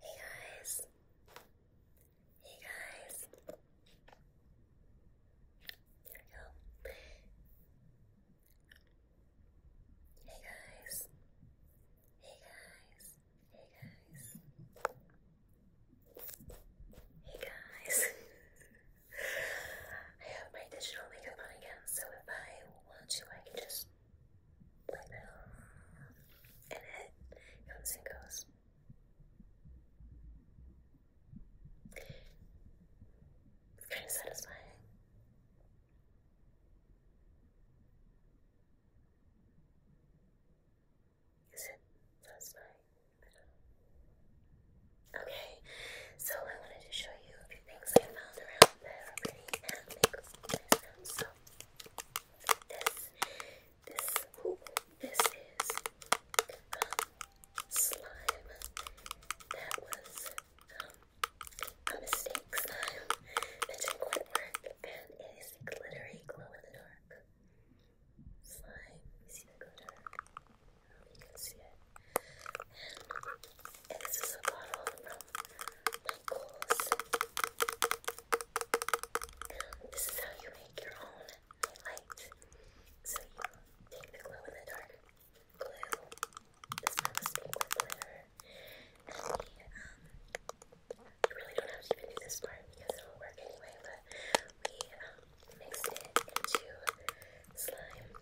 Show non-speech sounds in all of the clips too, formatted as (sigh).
Hey guys. Hey guys. There we go. Hey guys. Hey guys. Hey guys. Hey guys. I have my digital makeup on again, so if I want to, I can just play it comes and goes. It's kind of satisfying. Is it satisfying? Okay, so I wanted to show you I found around there already and this, is slime that was a mistake slime it is a glittery glow in the dark slime. You see the glitter? you can see it. And this is a bottle from Michaels. this is how you make your own highlight. So you take the glow in the dark glue. This one was glitter. Um, you really don't have to even do this part because it will work anyway, but we um, it into slime.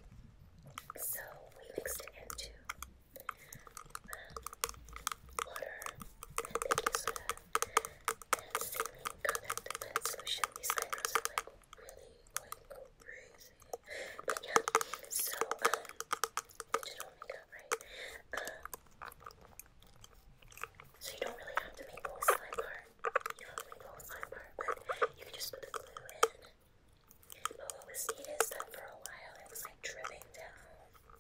So we mixed it into um, water and baking soda and saline colored lid solution. These eyebrows are like really going crazy. But yeah, so um, digital makeup, right? Um, so you don't really have to make the slime part. You don't make the slime part, but you can just put the glue in. But what was neat is that for a while it was like dripping down.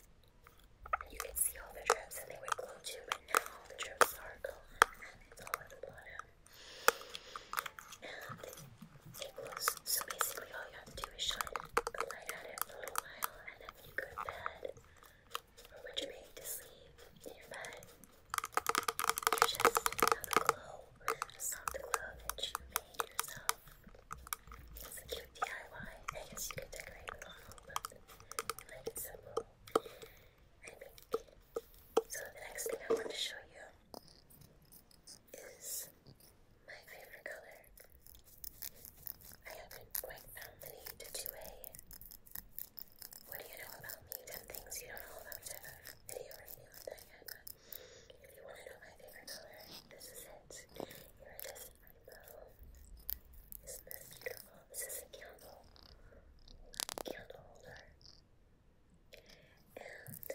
you could see all the drips and they would glow too, but now all the drips are gone it's all at the bottom. And it glows. So basically all you have to do is shine a light at it for a little while and then you go to bed or when you're to sleep in your bed, you just another glow, a soft glove that you made yourself. It's a cute DIY. I guess you could decorate with all of them, like simple. So the next thing I want to show you is my favorite color. I haven't quite found the to do a what do you know about me? 10 things you don't know about me. have a video review that yet, if you want to know my favorite color, this is it. Iridescent rainbow. Isn't this beautiful? This is a candle. Candle holder. And anytime I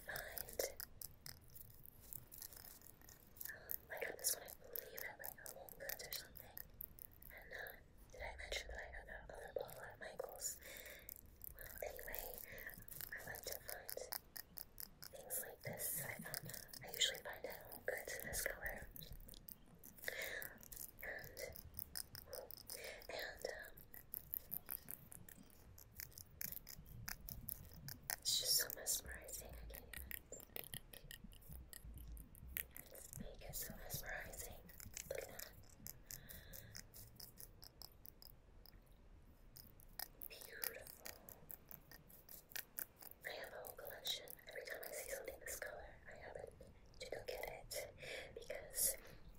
find I got this one, believe, at like a Goods or something. And uh, did I mention that I other bottle at Michael's? Well, anyway, I like to find things like this. I um, usually find at Whole Goods in this color. And and um, it's just so mesmerizing. Make it so mesmerizing. Beautiful. I have a whole collection. Every time I see something this color, I happen to go get it because it's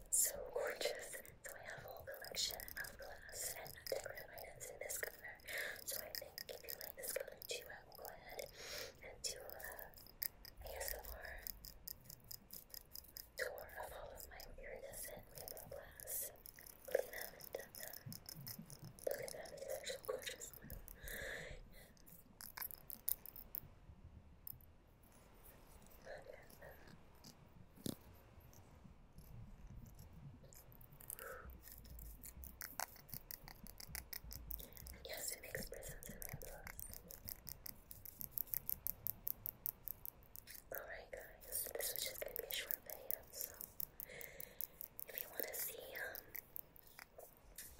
so gorgeous. So I have a whole collection of glass and decorative items in this her. So I think if you like this color too, I will go ahead and do a ASMR tour of all of my iridescent rainbow glass. We haven't Look at that, it's actually gorgeous. Yes, it makes presents Alright guys, this was just gonna be a short video, so if you wanna see um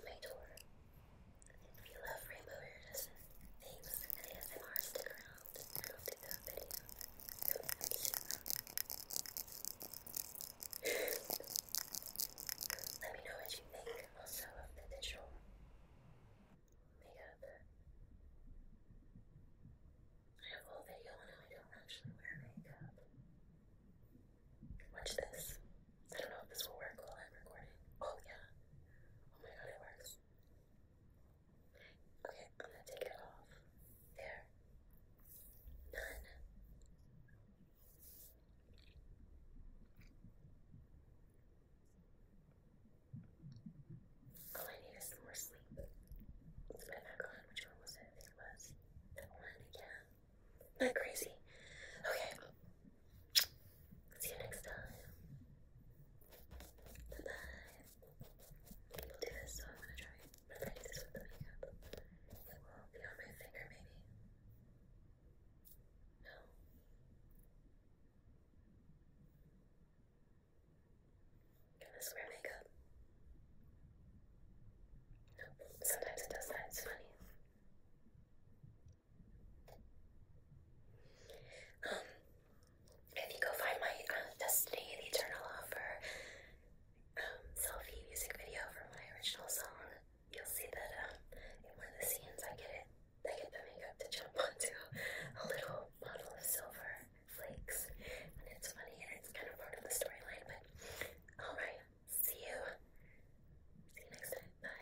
my tour, if you love rainbow iridescent things and ASMR, stick around. Let me know what you think also of the digital makeup. I have a whole video on I don't actually wear makeup. Watch this. I don't know if this will work while I'm recording. Oh yeah. Oh my god, it works. Okay, I'm gonna take it off. There. Done. All oh, I need some more sleep. Which one was it? it was that one. Yeah. Not crazy. Okay. See you next time. Bye bye i do this, so I'm gonna try and replace this with the makeup. It will be on my finger, maybe. No. Can I swear makeup? No. Sometimes it does that. It's funny. Um, if you go find my uh, Destiny, the Eternal Offer um, selfie music video for my original song, you'll see that um, in one of the scenes I get it, I get the makeup to jump (laughs) onto a little bottle of silver flakes. And it's funny and it's kind of part of the storyline, but alright, see you. See you next time. Bye.